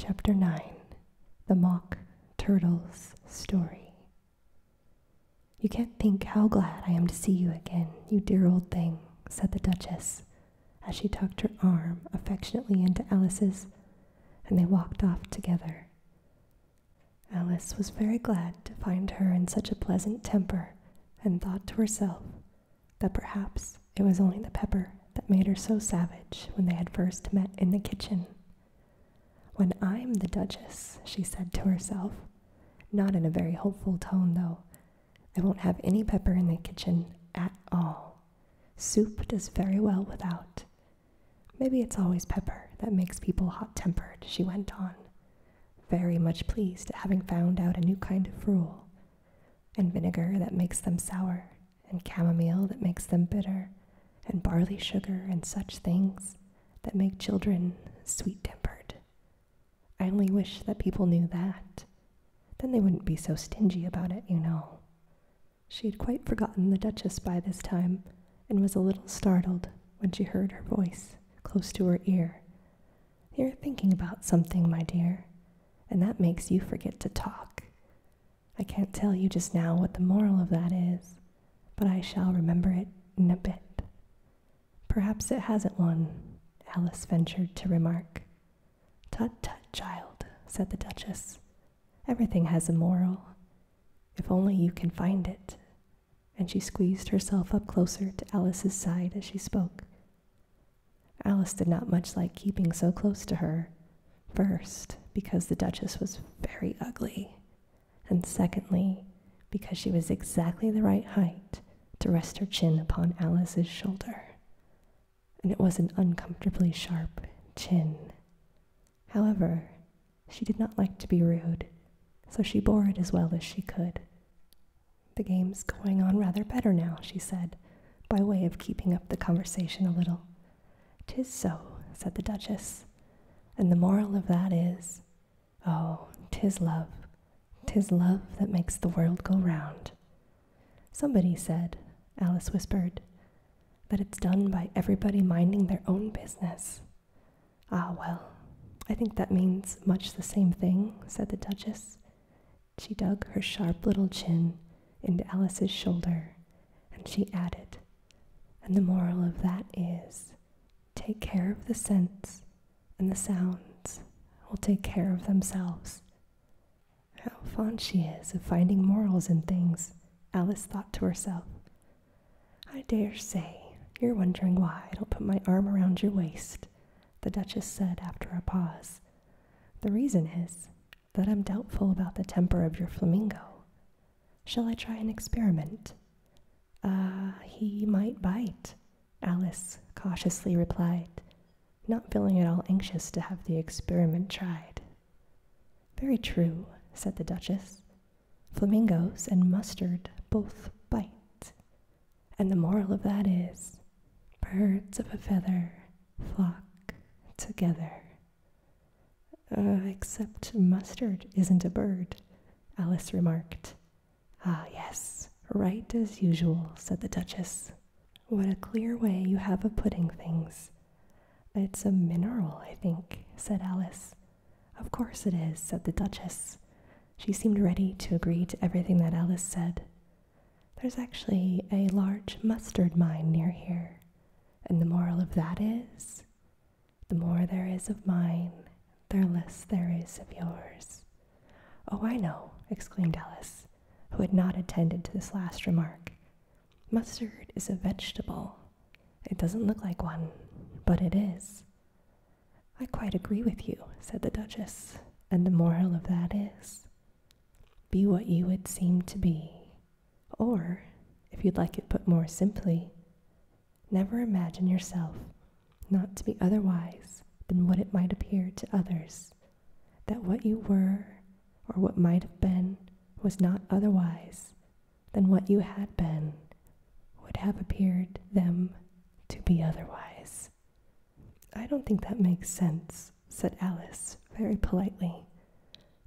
Chapter 9 The Mock Turtle's Story. You can't think how glad I am to see you again, you dear old thing, said the Duchess, as she tucked her arm affectionately into Alice's, and they walked off together. Alice was very glad to find her in such a pleasant temper, and thought to herself that perhaps it was only the pepper that made her so savage when they had first met in the kitchen. When I'm the Duchess, she said to herself, not in a very hopeful tone, though, I won't have any pepper in the kitchen at all. Soup does very well without. Maybe it's always pepper that makes people hot tempered, she went on, very much pleased at having found out a new kind of rule, and vinegar that makes them sour and chamomile that makes them bitter, and barley sugar and such things that make children sweet tempered. I only wish that people knew that. Then they wouldn't be so stingy about it, you know. She had quite forgotten the Duchess by this time, and was a little startled when she heard her voice close to her ear. You're thinking about something, my dear and that makes you forget to talk. I can't tell you just now what the moral of that is, but I shall remember it in a bit. Perhaps it hasn't one, Alice ventured to remark. Tut tut, child, said the Duchess. Everything has a moral, if only you can find it. And she squeezed herself up closer to Alice's side as she spoke. Alice did not much like keeping so close to her, first, because the Duchess was very ugly, and secondly, because she was exactly the right height to rest her chin upon Alice's shoulder. And it was an uncomfortably sharp chin. However, she did not like to be rude, so she bore it as well as she could, the game's going on rather better now, she said, by way of keeping up the conversation a little. Tis so, said the Duchess. And the moral of that is, oh, tis love, tis love that makes the world go round. Somebody said, Alice whispered, that it's done by everybody minding their own business. Ah, well, I think that means much the same thing, said the Duchess. She dug her sharp little chin into Alice's shoulder, and she added, And the moral of that is take care of the scents, and the sounds will take care of themselves. How fond she is of finding morals in things, Alice thought to herself. I dare say you're wondering why I don't put my arm around your waist, the Duchess said after a pause. The reason is that I'm doubtful about the temper of your flamingo. Shall I try an experiment? Ah, he might bite, Alice cautiously replied, not feeling at all anxious to have the experiment tried. Very true, said the Duchess. Flamingos and mustard both bite. And the moral of that is birds of a feather flock together. Uh, except mustard isn't a bird, Alice remarked. Ah, yes, right as usual, said the Duchess. What a clear way you have of putting things. It's a mineral, I think, said Alice. Of course it is, said the Duchess. She seemed ready to agree to everything that Alice said, there's actually a large mustard mine near here, and the moral of that is the more there is of mine, the less there is of yours. Oh, I know, exclaimed Alice, who had not attended to this last remark. Mustard is a vegetable. It doesn't look like one, but it is. I quite agree with you, said the Duchess, and the moral of that is be what you would seem to be. Or, if you'd like it put more simply, never imagine yourself not to be otherwise than what it might appear to others, that what you were or what might have been was not otherwise than what you had been would have appeared them to be otherwise. I don't think that makes sense, said Alice very politely.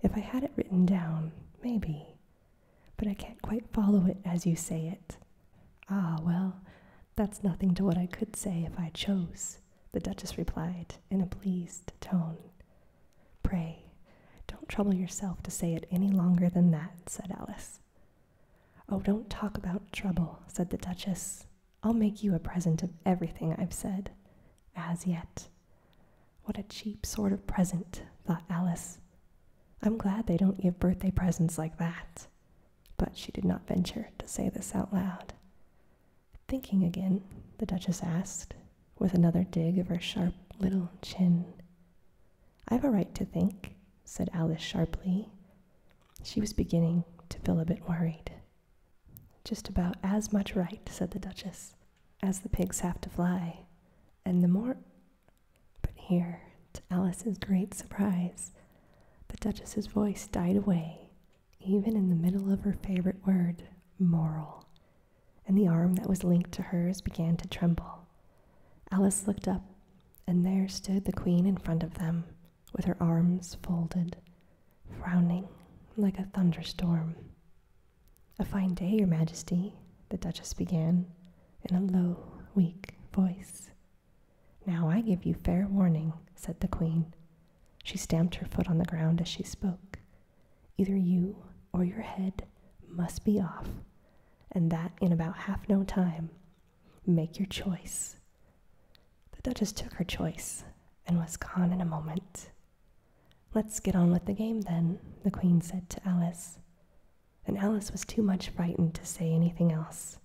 If I had it written down, maybe. But I can't quite follow it as you say it. Ah, well, that's nothing to what I could say if I chose, the Duchess replied in a pleased tone. Pray, don't trouble yourself to say it any longer than that, said Alice. Oh, don't talk about trouble, said the Duchess. I'll make you a present of everything I've said. As yet. What a cheap sort of present, thought Alice. I'm glad they don't give birthday presents like that. But she did not venture to say this out loud. Thinking again, the Duchess asked, with another dig of her sharp little chin. I've a right to think, said Alice sharply. She was beginning to feel a bit worried. Just about as much right, said the Duchess, as the pigs have to fly. And the more. But here, to Alice's great surprise, the Duchess's voice died away, even in the middle of her favorite word, moral, and the arm that was linked to hers began to tremble. Alice looked up and there stood the queen in front of them, with her arms folded, frowning like a thunderstorm. A fine day, Your Majesty, the Duchess began in a low, weak voice. Now I give you fair warning, said the Queen. She stamped her foot on the ground as she spoke. Either you or your head must be off, and that in about half no time, Make your choice. The Duchess took her choice and was gone in a moment. Let's get on with the game then, the Queen said to Alice. And Alice was too much frightened to say anything else,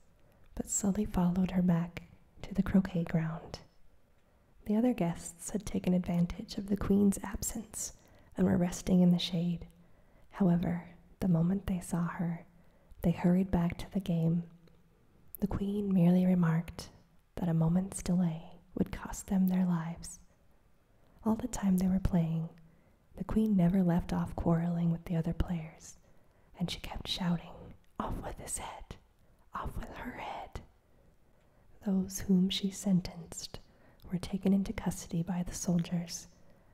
but slowly followed her back to the croquet ground. The other guests had taken advantage of the Queen's absence and were resting in the shade, However, the moment they saw her, they hurried back to the game. The queen merely remarked that a moment's delay would cost them their lives. All the time they were playing, the queen never left off quarreling with the other players, and she kept shouting, Off with his head! Off with her head! Those whom she sentenced were taken into custody by the soldiers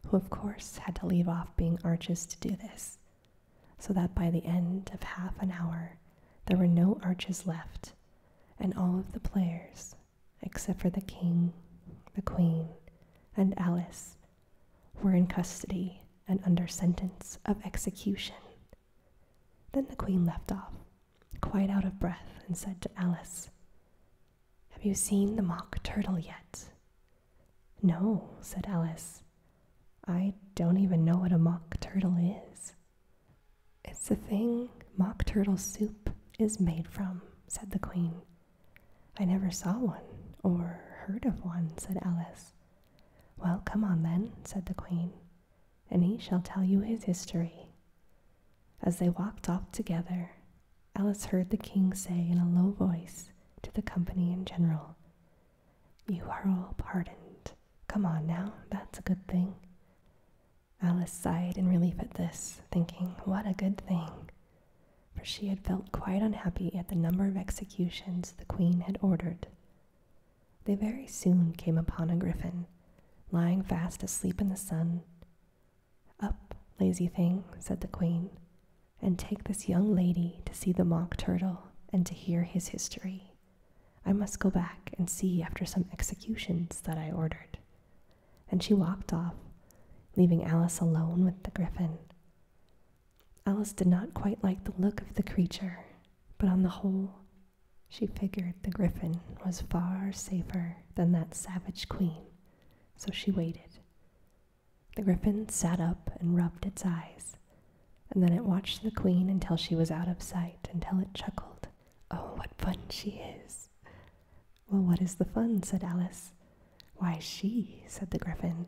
who, of course, had to leave off being arches to do this, so that by the end of half an hour there were no arches left, and all of the players, except for the king, the queen, and Alice, were in custody and under sentence of execution. Then the queen left off, quite out of breath, and said to Alice, have you seen the Mock Turtle yet? No, said Alice. I don't even know what a Mock Turtle is. It's the thing Mock Turtle soup is made from, said the Queen. I never saw one, or heard of one, said Alice. Well, come on then, said the Queen, and he shall tell you his history. As they walked off together, Alice heard the king say in a low voice to the company in general, You are all pardoned. Come on now, that's a good thing. Alice sighed in relief at this, thinking, What a good thing! For she had felt quite unhappy at the number of executions the queen had ordered. They very soon came upon a griffin, lying fast asleep in the sun. Up, lazy thing, said the queen, and take this young lady to see the mock turtle and to hear his history. I must go back and see after some executions that I ordered. And she walked off, leaving Alice alone with the griffin. Alice did not quite like the look of the creature, but on the whole, she figured the griffin was far safer than that savage queen so she waited. The griffin sat up and rubbed its eyes, and then it watched the queen until she was out of sight, until it chuckled. Oh, what fun she is! Well, what is the fun? said Alice. Why, she, said the griffin.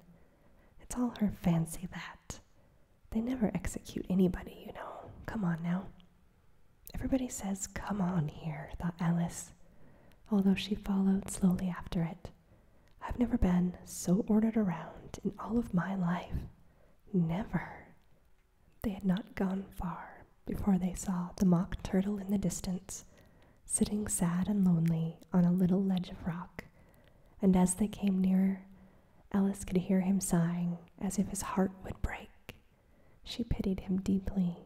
It's all her fancy that. They never execute anybody, you know. Come on now. Everybody says, Come on here, thought Alice, although she followed slowly after it. I've never been so ordered around in all of my life. Never. They had not gone far before they saw the mock turtle in the distance, sitting sad and lonely on a little ledge of rock. And as they came nearer, Alice could hear him sighing as if his heart would break. She pitied him deeply.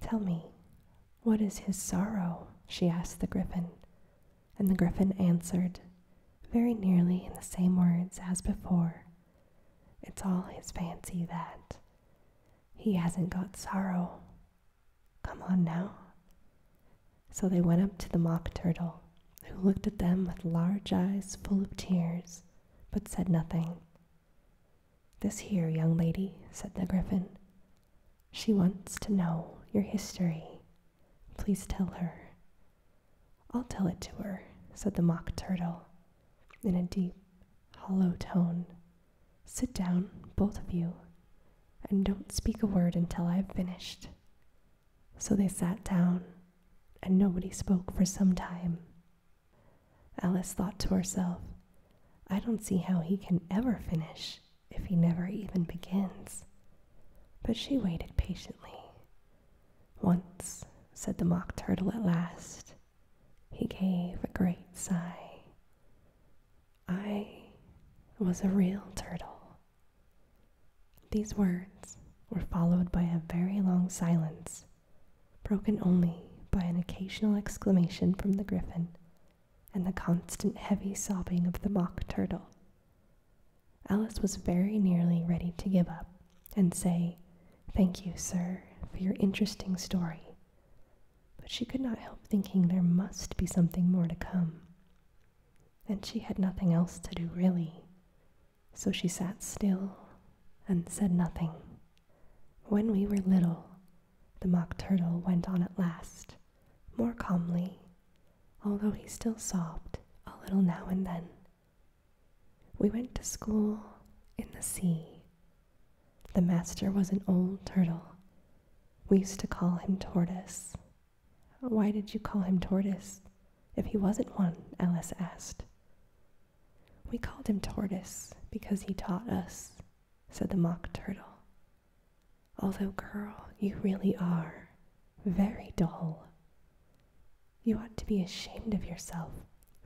Tell me, what is his sorrow? she asked the griffin. And the griffin answered, very nearly in the same words as before. It's all his fancy that. He hasn't got sorrow. Come on now. So they went up to the mock turtle, who looked at them with large eyes full of tears, but said nothing. This here, young lady, said the Gryphon. She wants to know your history. Please tell her. I'll tell it to her, said the Mock Turtle, in a deep, hollow tone. Sit down, both of you, and don't speak a word until I've finished. So they sat down, and nobody spoke for some time. Alice thought to herself, I don't see how he can ever finish if he never even begins. But she waited patiently. Once, said the Mock Turtle at last, he gave a great sigh. I was a real turtle. These words were followed by a very long silence broken only by an occasional exclamation from the griffin and the constant heavy sobbing of the mock turtle. Alice was very nearly ready to give up and say, Thank you, sir, for your interesting story. But she could not help thinking there must be something more to come. And she had nothing else to do, really, so she sat still and said nothing. When we were little, the Mock Turtle went on at last, more calmly, although he still sobbed a little now and then. We went to school in the sea. The master was an old turtle. We used to call him Tortoise. Why did you call him Tortoise? If he wasn't one, Alice asked. We called him Tortoise because he taught us, said the Mock Turtle. Although, girl, you really are very dull. You ought to be ashamed of yourself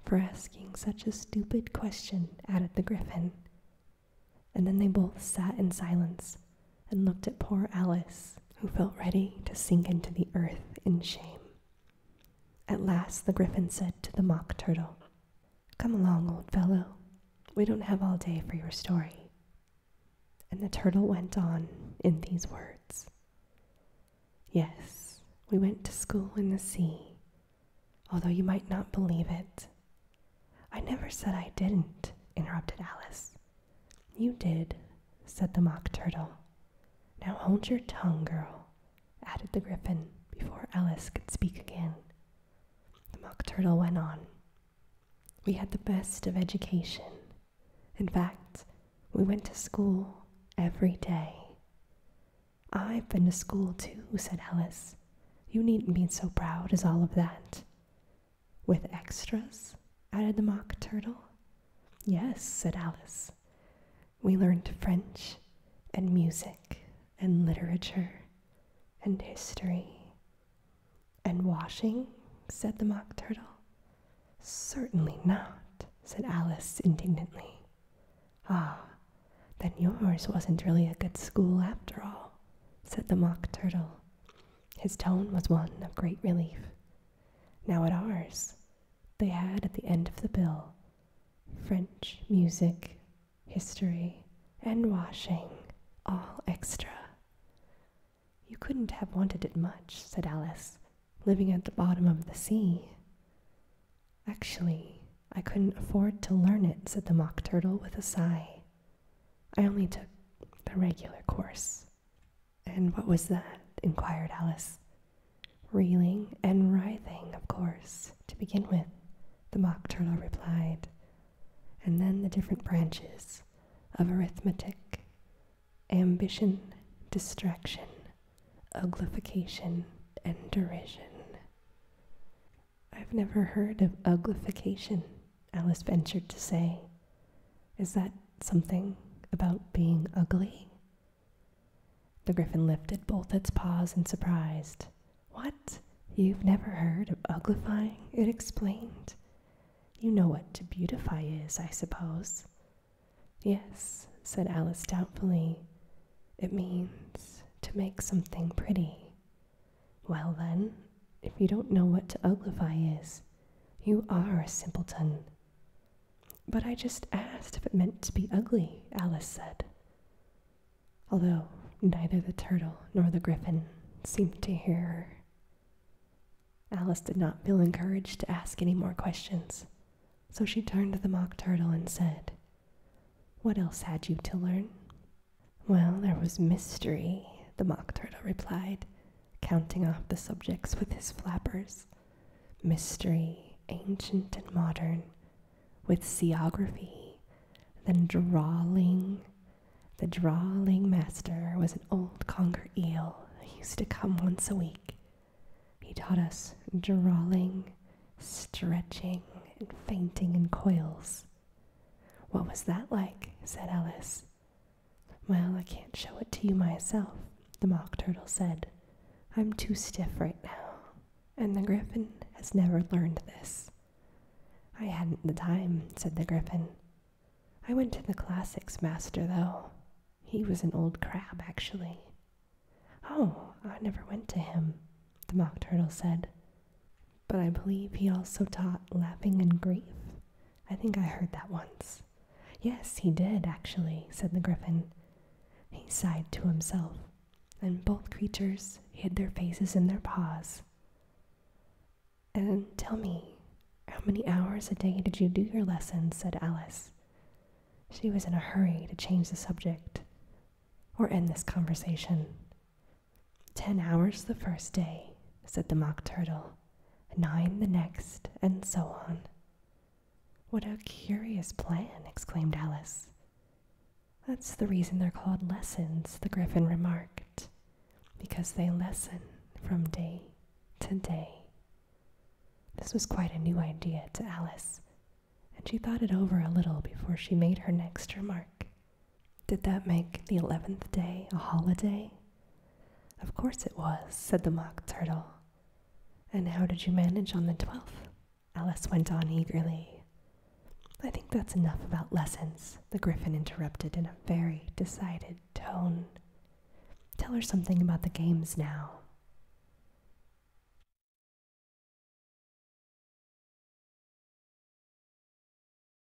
for asking such a stupid question, added the Gryphon. And then they both sat in silence and looked at poor Alice, who felt ready to sink into the earth in shame. At last the griffin said to the mock turtle, Come along, old fellow. We don't have all day for your story. And the turtle went on in these words Yes, we went to school in the sea, although you might not believe it. I never said I didn't, interrupted Alice. You did, said the Mock Turtle. Now hold your tongue, girl, added the Gryphon before Alice could speak again. The Mock Turtle went on. We had the best of education. In fact, we went to school every day. I've been to school too, said Alice. You needn't be so proud as all of that. With extras? added the Mock Turtle. Yes, said Alice. We learned French and music and literature and history. And washing, said the Mock Turtle. Certainly not, said Alice indignantly. Ah, then yours wasn't really a good school after all, said the Mock Turtle. His tone was one of great relief. Now at ours, they had at the end of the bill French music, history, and washing, all extra. You couldn't have wanted it much, said Alice, living at the bottom of the sea. Actually, I couldn't afford to learn it, said the Mock Turtle with a sigh. I only took the regular course. And what was that? inquired Alice. Reeling and writhing, of course, to begin with, the Mock Turtle replied, and then the different branches of arithmetic, ambition, distraction, uglification, and derision. I've never heard of uglification, Alice ventured to say. Is that something about being ugly? The griffin lifted both its paws in surprise. What? You've never heard of uglifying? It explained. You know what to beautify is, I suppose. Yes, said Alice doubtfully. It means to make something pretty. Well, then, if you don't know what to uglify is, you are a simpleton. But I just asked if it meant to be ugly, Alice said. Although neither the turtle nor the griffin seemed to hear her. Alice did not feel encouraged to ask any more questions, so she turned to the mock turtle and said, What else had you to learn? Well, there was mystery, the mock turtle replied, counting off the subjects with his flappers mystery, ancient and modern, with seography, then drawling. The drawling master was an old conger eel who used to come once a week. He taught us drawling, stretching, and fainting in coils. What was that like? said Alice. Well, I can't show it to you myself, the Mock Turtle said. I'm too stiff right now, and the Gryphon has never learned this. I hadn't the time, said the Gryphon. I went to the classics master, though. He was an old crab, actually. Oh, I never went to him, the Mock Turtle said. But I believe he also taught laughing and grief, I think I heard that once. Yes, he did, actually, said the griffin. He sighed to himself, and both creatures hid their faces in their paws. And tell me, how many hours a day did you do your lessons? said Alice. She was in a hurry to change the subject or end this conversation. Ten hours the first day, said the Mock Turtle nine the next, and so on. What a curious plan! exclaimed Alice. That's the reason they're called lessons, the Gryphon remarked, because they lessen from day to day. This was quite a new idea to Alice, and she thought it over a little before she made her next remark. Did that make the eleventh day a holiday? Of course it was, said the Mock Turtle. And how did you manage on the twelfth?" Alice went on eagerly. I think that's enough about lessons, the Gryphon interrupted in a very decided tone. Tell her something about the games now.